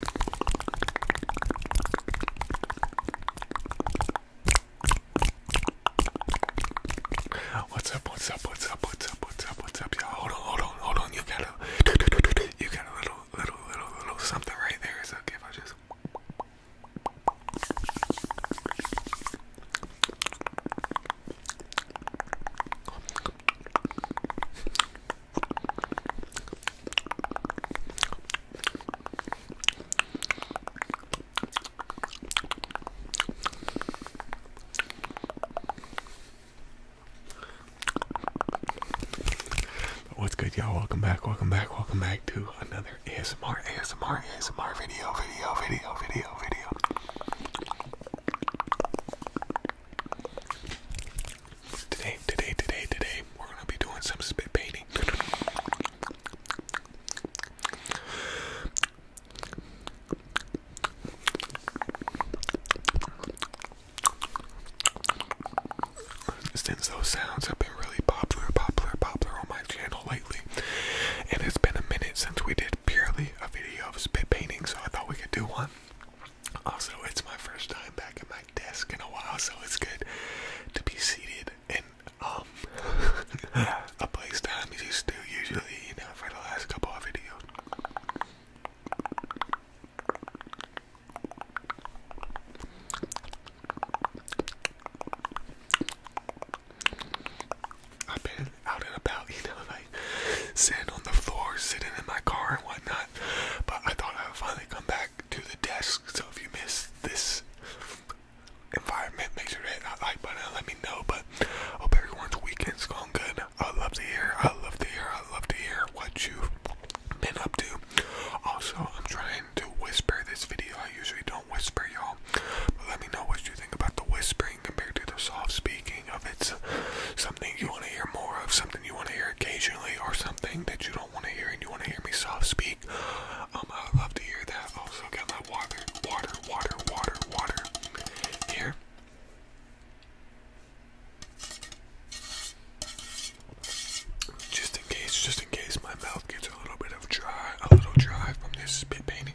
What's up, what's up, what's up, what's up, what's up, what's up, y'all? Hold on, hold on, hold on, you got a you got a little little little little something right there, so okay I just What's good, y'all? Welcome back, welcome back, welcome back to another ASMR, ASMR, ASMR video, video, video, video, video. Today, today, today, today, we're gonna be doing some spit painting. Since those sounds have been really popular, popular, popular on my channel lately, and it's been a minute since we did purely a video of spit painting, so I thought we could do one. Also, it's my first time back in my desk in a while, so it's good to be seated in um, a place Time as you used to usually, you know, for the last couple of videos. I've been out and about, you know, like sitting on the floor, sitting in my car and whatnot. But I thought I would finally come back to the desk. So if you miss this environment, make sure hit that like button let me know. But hope everyone's weekend's going good. I love to hear, I love to hear, I love to hear what you've been up to. Also, I'm trying to whisper this video. I usually don't whisper, y'all. But let me know what you think about the whispering compared to the soft speaking of its you want to hear more of, something you want to hear occasionally, or something that you don't want to hear and you want to hear me soft speak, um, I would love to hear that. Also, got my water, water, water, water, water here. Just in case, just in case my mouth gets a little bit of dry, a little dry from this spit painting.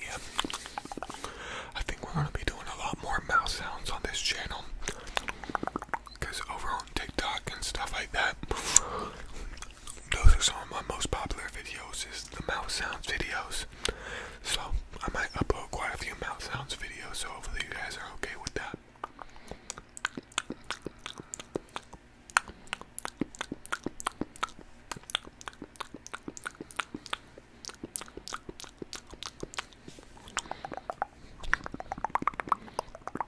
Yeah. I think we're going to be doing a lot more mouse sounds on this channel. Because over on TikTok and stuff like that, those are some my most popular videos is the mouth sounds videos. So I might upload quite a few mouth sounds videos, so hopefully you guys are okay with that.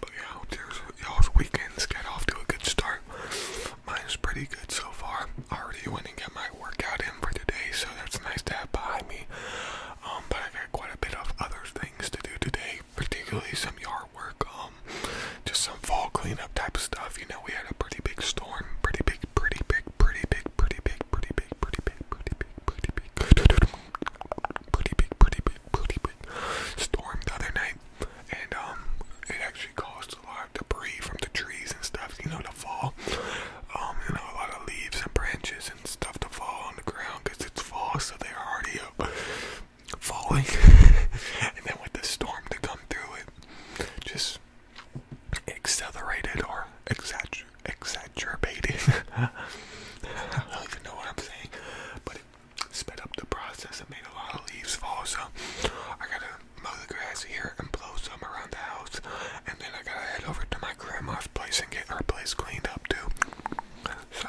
But yeah, y'all's weekends get off to a good start. Mine's pretty good so far. I already went and got my workout in for today, so that's nice to have behind me. Um, but I got quite a bit of other things to do today, particularly some yard work, um, just some fall cleanup type of stuff. You know, we had a pretty big storm, pretty big, pretty big, pretty big, pretty big, pretty pretty big, pretty big, pretty big, pretty big, pretty big, pretty big storm the other night, and um, it actually caused a lot of debris from the trees and stuff, you know, to fall. Um, you know, a lot of leaves and branches and stuff to fall on the ground because it's fall, so they're already up falling. and then with the storm to come through, it just accelerated or exaggerating. don't even know what I'm saying, but it sped up the process and made a lot of leaves fall. So I gotta mow the grass here and blow some around the house, and then I gotta head over to my grandma's place and get her place cleaned up too. So.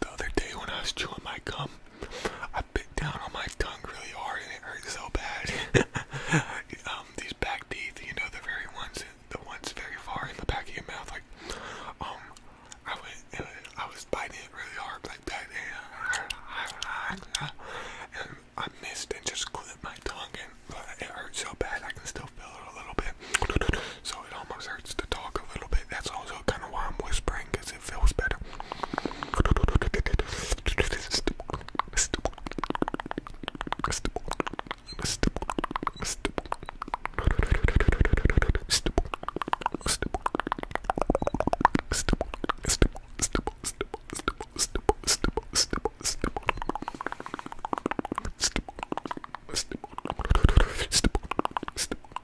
The other day when I was chewing my gum, I bit down on my tongue really hard it hurt so bad. um, these back teeth, you know, the very ones, the ones very far in the back of your mouth, like, um, I was, uh, I was biting it really hard like that, and I missed and just clipped my tongue, and it hurt so bad I can still feel it a little bit. So it almost hurt hurts to talk a little bit. That's also kind of why I'm whispering because it feels better.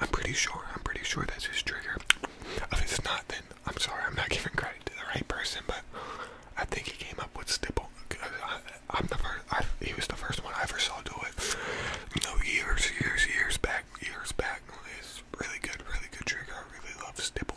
I'm pretty sure, I'm pretty sure that's his trigger. If it's not, then I'm sorry, I'm not giving credit to the right person, but I think he came up with stipple. I, am the first, he was the first one I ever saw do it. You know, years, years, years back, years back. It's really good, really good trigger. I really love stipple.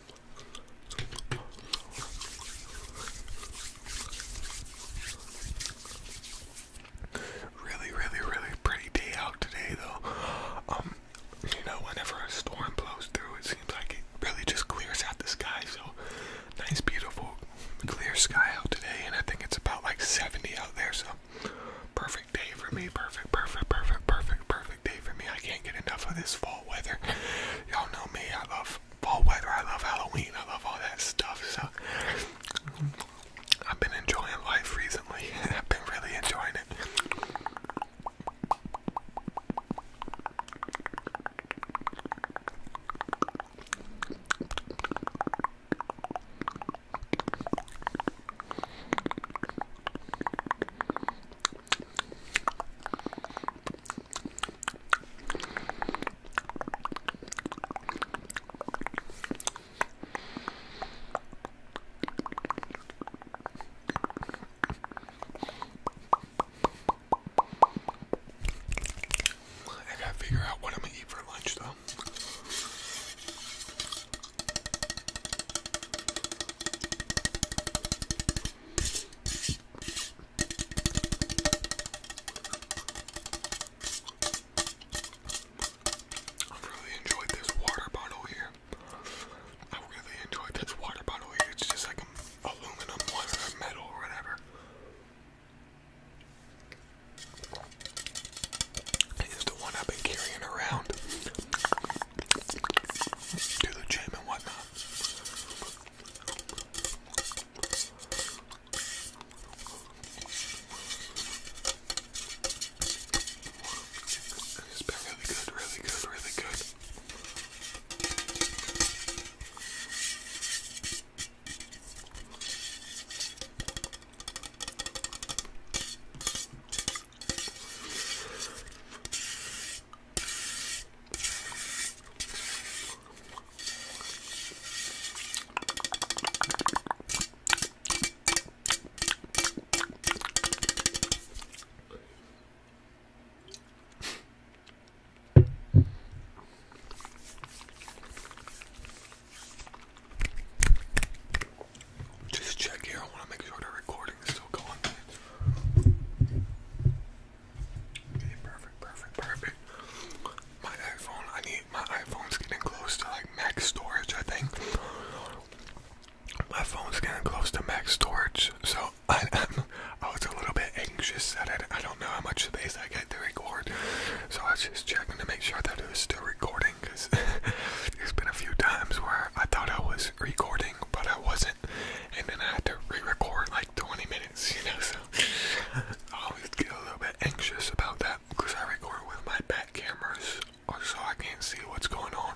Really, really, really pretty day out today, though. Um, you know, whenever a storm blows through, it seems like it really just clears out the sky. So, nice, beautiful, clear sky out today, and I think it's about like 70 out there. So, perfect day for me. Perfect, perfect, perfect, perfect, perfect day for me. I can't get enough of this fall weather. Y'all know me. I love fall weather. I love Halloween. I love all that stuff. So I've been enjoying life recently. and I've been really enjoying it. I gotta figure out what I'm gonna eat for lunch, though. I've really enjoyed this water bottle here. I really enjoyed this water bottle here. It's just like an aluminum one or metal or whatever. It's the one I've been carrying around to the gym and whatnot. It's been really good, really good, really good. Just check here. I want to make sure the recording is still going perfect, perfect, perfect. My iPhone, I need my iPhone's getting close to like max storage, I think. My phone's getting close to max storage, so I, am I was a little bit anxious at it. I don't know how much space I get to record, so I was just checking to make sure that it was still recording because there's been a few times where I thought I was recording, but I wasn't. and then I had to re-record like 20 minutes, you know, so I always get a little bit anxious about that because I record with my back cameras uh, so I can't see what's going on.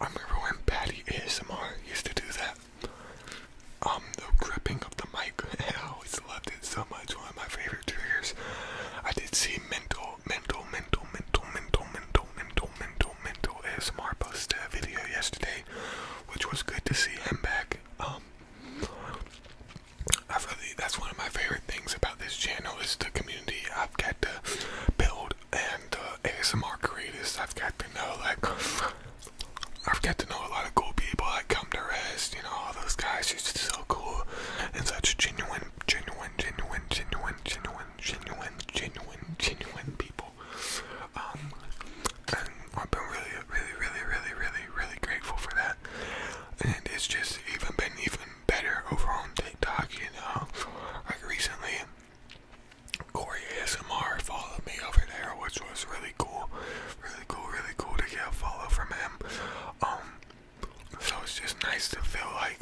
I remember when Patty ASMR used to do that. Um, the gripping of the mic, I always loved it so much. One of my favorite triggers. I did see mental, mental, mental, mental, mental, mental, mental, mental, mental ASMR post a uh, video yesterday, which was good to see him back. Um, I really, that's one of my favorite things about this channel is the community I've got to build and uh, ASMR creators I've got to know, like, I've got to know a lot of cool people that come to rest, you know, all those guys who's just so cool and such genuine, genuine, genuine, genuine, genuine, genuine, genuine, genuine people. Um, and I've been really, really, really, really, really, really grateful for that. And it's just even been even better over on TikTok, you know. Like recently, Corey ASMR followed me over there, which was really cool really cool, really cool to get a follow from him. Um, so it's just nice to feel like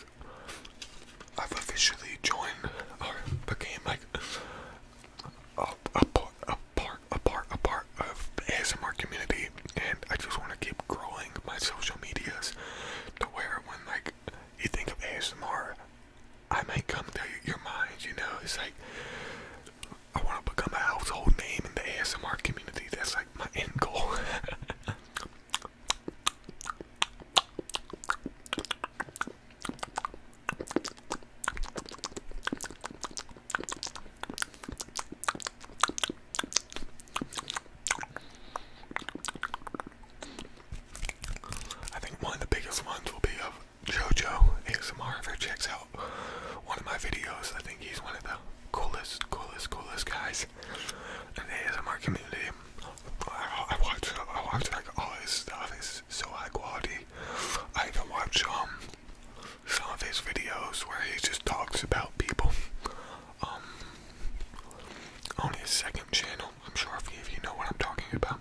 I've officially joined or became like a, a part, a part, a part, of the ASMR community, and I just want to keep growing my social medias to where when like you think of ASMR, I might come to your mind. You know, it's like I want to become a household name in the ASMR community. That's like my end goal. I think one of the biggest ones will be of Jojo ASMR ever checks out one of my videos, I think he's one of the coolest, coolest, coolest guys in the ASMR community. I, watch, I watch like all his stuff. It's so high quality. I even watch um, some of his videos where he just talks about people. Um, on his second channel, I'm sure if you know what I'm talking about.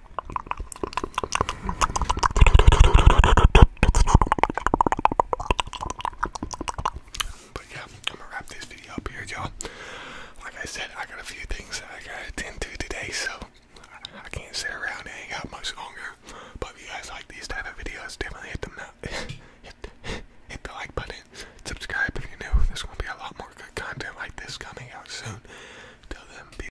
But yeah, I'm gonna wrap this video up here, y'all. Like I said, I got a few things I gotta attend to today, so I can't sit around and hang out much longer. But if you guys like these type of videos, definitely hit them up. hit, hit the like button. Subscribe if you're new. There's gonna be a lot more good content like this coming out soon. Till then, be